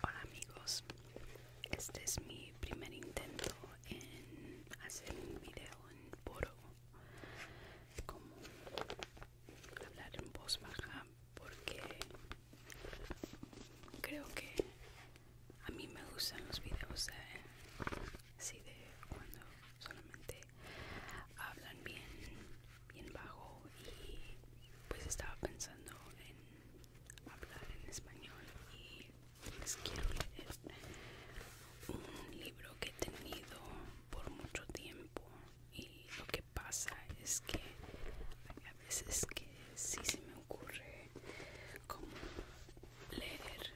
Hola amigos, este es mi primer intento en hacer un video en poro, como hablar en voz baja, porque creo que a mí me gustan los videos así de cuando solamente hablan bien, bien bajo y pues estaba pensando en hablar en español y quiero leer un libro que he tenido por mucho tiempo y lo que pasa es que hay a veces que sí se me ocurre como leer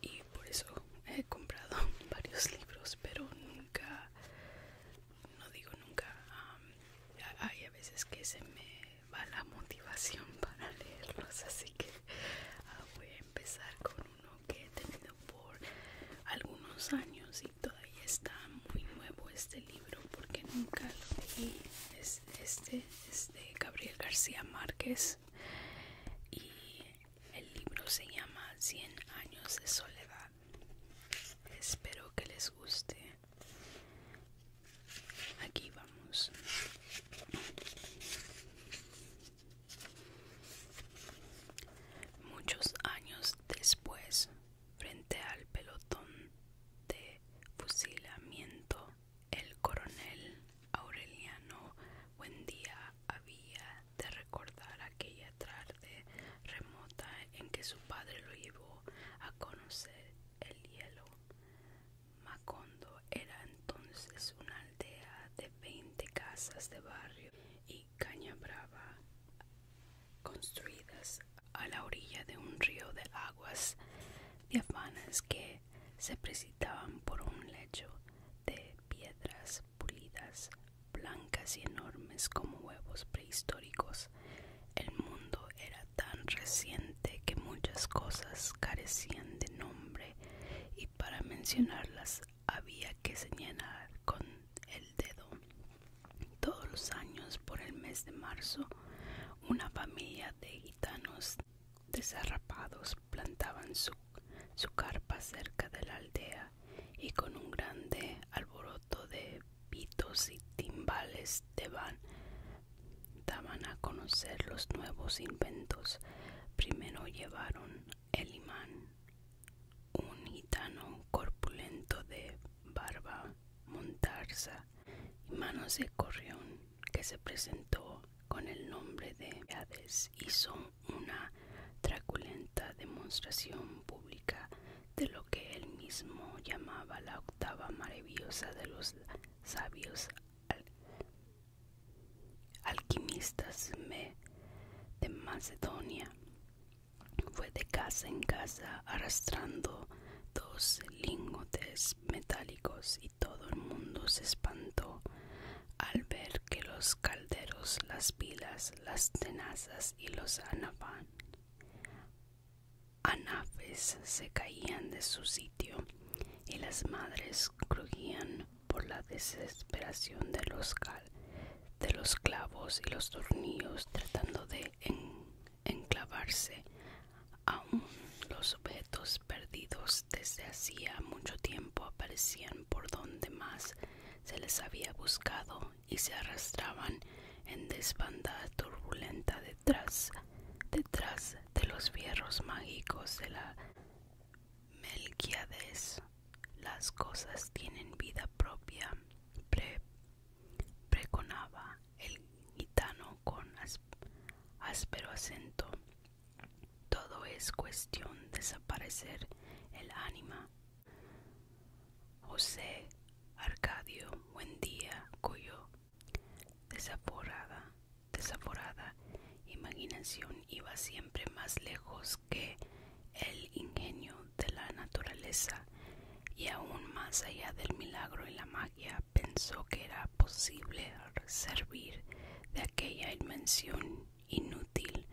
y por eso he comprado varios libros pero nunca no digo nunca hay a veces que se me va la motivación para leerlos así que ah, voy a empezar con uno que he tenido por algunos años y todavía está muy nuevo este libro porque nunca lo leí es, este es de Gabriel García Márquez y el libro se llama 100 años de soledad espero que les guste aquí vamos muchos años después frente al pelotón de fusilamiento el coronel Aureliano Buendía había de recordar aquella tarde remota en que su padre lo llevó a conocer el hielo Macondo era entonces una aldea de 20 casas de barrio y caña brava construidas a la orilla de un río de aguas diafanas que se precipitaban por un lecho de piedras pulidas, blancas y enormes como huevos prehistóricos. El mundo era tan reciente que muchas cosas carecían de nombre y para mencionarlas había que señalar con el dedo. Todos los años por el mes de marzo, una familia de gitanos desarrapados plantaban su, su carpa cerca de la aldea y con un grande alboroto de pitos y timbales van daban a conocer los nuevos inventos. Primero llevaron el imán, un gitano corpulento de barba, montarza y manos de corrión que se presentó con el nombre de Hades hizo una traculenta demostración pública de lo que él mismo llamaba la octava maravillosa de los sabios alquimistas de Macedonia. Fue de casa en casa arrastrando dos lingotes metálicos y todo el mundo se espantó al ver que los calderos, las pilas, las tenazas y los anafán anafes se caían de su sitio y las madres crujían por la desesperación de los, clavos y los tornillos tratando de enclavarse aun los objetos perdidos desde hacía mucho tiempo aparecían por donde más se les había buscado y se arrastraban en desbandada turbulenta detrás detrás de los fierros mágicos de la Melquiades. Las cosas tienen vida propia, preconaba el gitano con áspero acento. Todo es cuestión de desaparecer el ánima. José Arcadio buen día, cuyo Desaforada, desaforada imaginación iba siempre más lejos que el ingenio de la naturaleza y aún más allá del milagro y la magia pensó que era posible servir de aquella invención inútil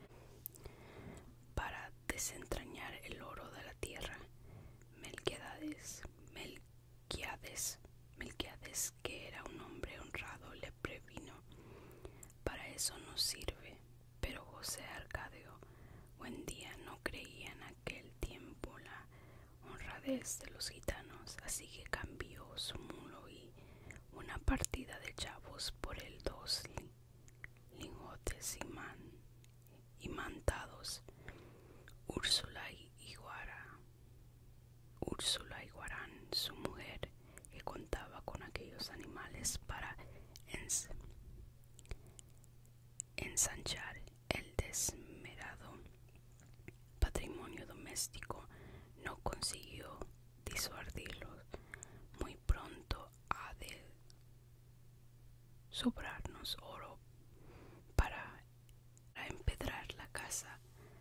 para desentrañar el oro de la tierra. Mel Melquiades, que era un hombre honrado, le previno. Para eso no sirve. Pero José Arcadio, buen día, no creía en aquel tiempo la honradez de los gitanos, así que cambió su mulo y una partida de chavos por el dos lingotes y man imantados. Úrsula y Iguara, Úrsula Guaran, su mujer, que contaba con aquellos animales para ensanchar el desmerado patrimonio doméstico, no consiguió disuadirlos. Muy pronto ha de sobrarnos oro para a empedrar la casa,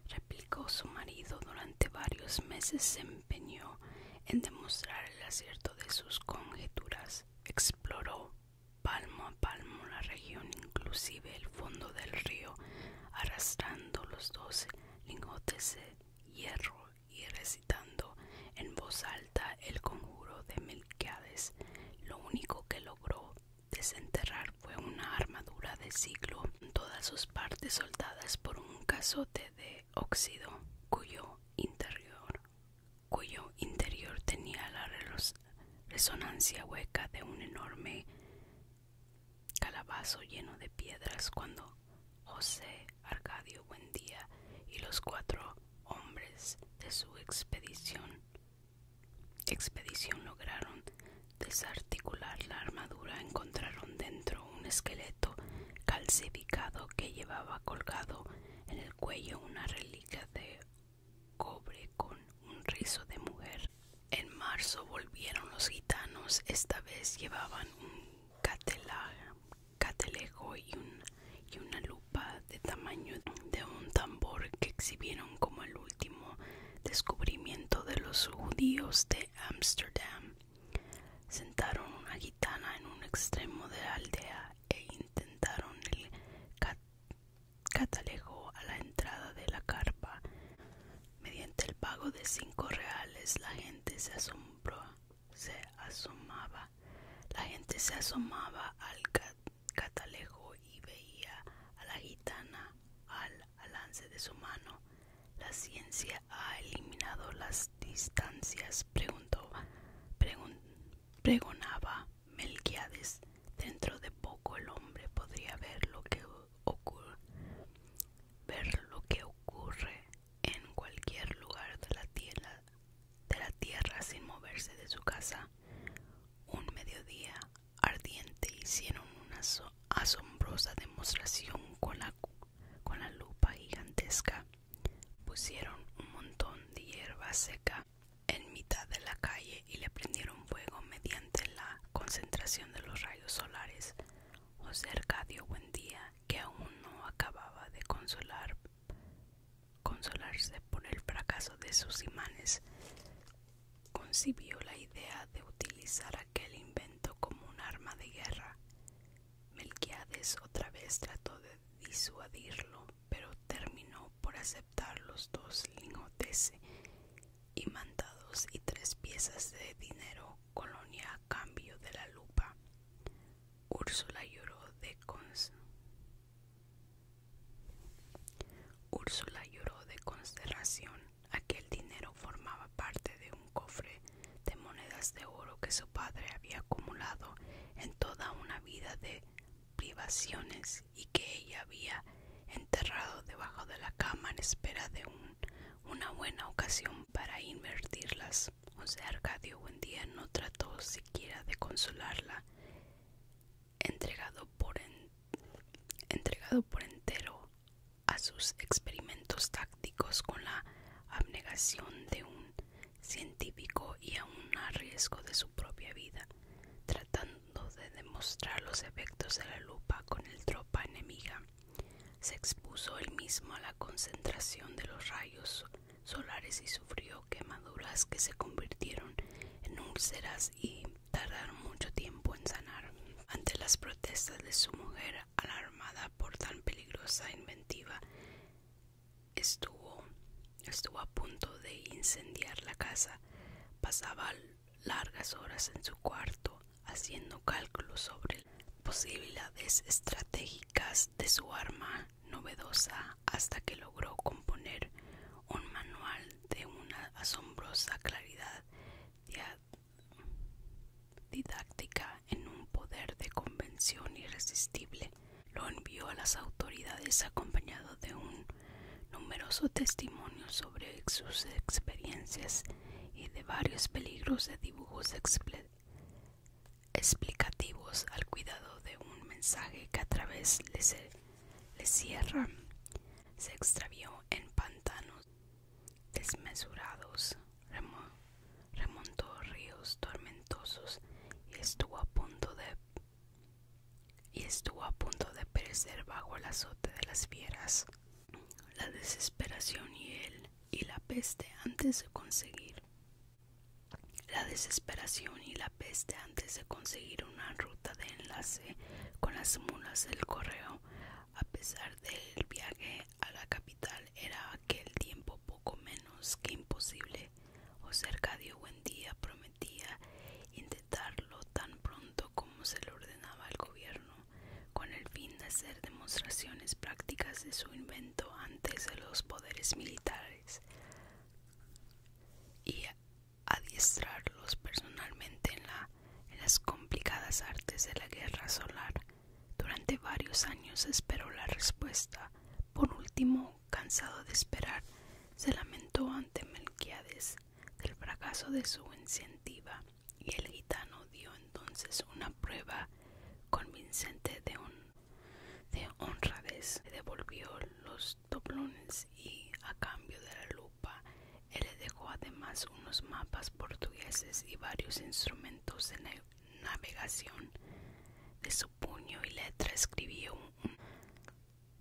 replicó su marido. Durante varios meses se empeñó en demostrar el acierto de sus conjeturas. Exploró palmo a palmo la región, inclusive el fondo del río, arrastrando los doce lingotes de hierro y recitando en voz alta el conjuro de Melquiades. Lo único que logró Desenterrar fue una armadura de siglo, todas sus partes soldadas por un casote de óxido, cuyo interior, cuyo interior tenía la resonancia hueca de un enorme calabazo lleno de piedras cuando José Arcadio Buendía y los cuatro hombres de su expedición expedición lograron desarticular la armadura, encontraron dentro un esqueleto calcificado que llevaba colgado en el cuello una reliquia de cobre con un rizo de mujer. En marzo volvieron los gitanos, esta vez llevaban un y, una lupa de tamaño de un tambor que exhibieron como el último descubrimiento de los judíos de Ámsterdam. Sentaron una gitana en un extremo de la aldea e intentaron el catalejo a la entrada de la carpa. Mediante el pago de cinco reales la gente se asombró, se asomaba, la gente se asomaba al catalejo y veía a la gitana al alance de su mano. La ciencia ha eliminado las distancias, preguntó, pregonaba Melquiades. Dentro de poco el hombre podría ver lo que ocurre, ver lo que ocurre en cualquier lugar de la tierra, de la tierra sin moverse de su casa un mediodía ardiente hicieron una asombrosa demostración con la, con la lupa gigantesca. Pusieron un montón de hierba seca en mitad de la calle y le prendieron fuego mediante la concentración de los rayos solares. José Arcadio Buendía, que aún no acababa de consolar consolarse por el fracaso de sus imanes, concibió la idea de utilizar aquel invento como un arma de guerra. Melquiades otra vez trató de disuadirlo, pero terminó por aceptar los dos lingotes y mandados y tres piezas de dinero colonia a cambio de la lupa. Úrsula lloró de cons Úrsula lloró de consternación. Aquel dinero formaba parte de un cofre de monedas de oro que su padre había acumulado en toda una vida de privaciones y que ella había enterrado debajo de la cama en espera de una buena ocasión para invertirlas. José Arcadio un día no trató siquiera de consolarla entregado por, entero a sus experimentos tácticos con la abnegación de un científico y a un riesgo de su propia vida, tratando de demostrar los efectos de la lupa con el tropa enemiga. Se expuso él mismo a la concentración de los rayos solares y sufrió quemaduras que se convirtieron en úlceras y tardar mucho tiempo en sanar. Ante las protestas de su mujer, alarmada por tan peligrosa inventiva, estuvo, estuvo a punto de incendiar la casa. Pasaba largas horas en su cuarto haciendo cálculos sobre posibilidades estratégicas de su arma novedosa hasta que logró componer un manual de una asombrosa claridad didáctica en un poder de convención irresistible. Lo envió a las autoridades acompañado de un numeroso testimonio sobre sus experiencias y de varios peligros de dibujos explicativos al cuidado de un mensaje que a través de le Sierra se extravió en pantanos desmesurados, remontó ríos tormentosos y estuvo a punto de y estuvo a punto de perecer bajo el azote de las fieras. La desesperación y él y la peste antes de conseguir. La desesperación y la peste antes de conseguir una ruta de enlace con las mulas del correo, a pesar del viaje a la capital, era aquel tiempo poco menos que imposible. José buen día prometía intentarlo tan pronto como se le ordenaba al gobierno, con el fin de hacer demostraciones prácticas de su invento antes de los poderes militares. Y adiestrarlos personalmente en, las complicadas artes de la guerra solar. Durante varios años esperó la respuesta. Por último, cansado de esperar, se lamentó ante Melquiades del fracaso de su incentiva y el gitano dio entonces una prueba convincente de, un, de honradez. y devolvió los doblones y a cambio de la lupa él le dejó además unos mapas portugueses y varios instrumentos de navegación. De su puño y letra escribió una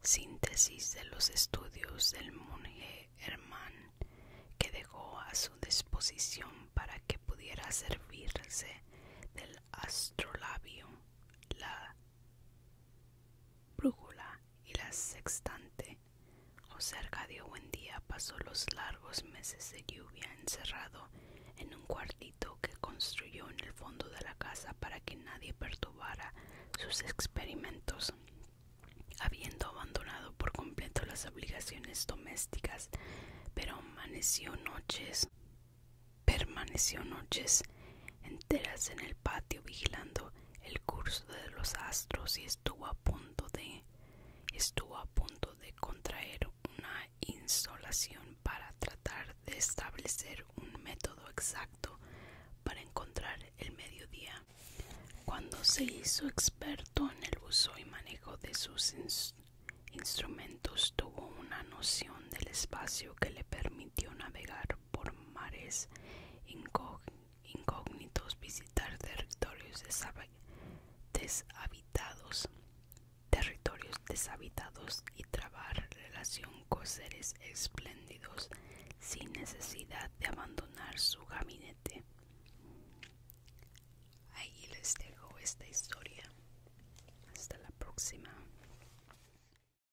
síntesis de los estudios del monje Hermann que dejó a su disposición para que pudiera servirse del astrolabio, la brújula y la sextante. O cerca de buen día pasó los largos meses de lluvia encerrado en un cuartito que construyó en el fondo de la casa para que nadie perturbara sus experimentos. Habiendo abandonado por completo las obligaciones domésticas, pero amaneció noches Permaneció noches enteras en el patio vigilando el curso de los astros y estuvo a punto de estuvo a punto de contraer una insolación para tratar de establecer un método exacto para encontrar el mediodía. Cuando se hizo experto en el uso y manejo de sus instrumentos, tuvo una noción del espacio que le permitió navegar por mares incógnitos, visitar territorios deshabitados, territorios deshabitados y trabar relación con seres espléndidos sin necesidad de abandonar su gabinete. Ahí les dejo esta historia. Hasta la próxima.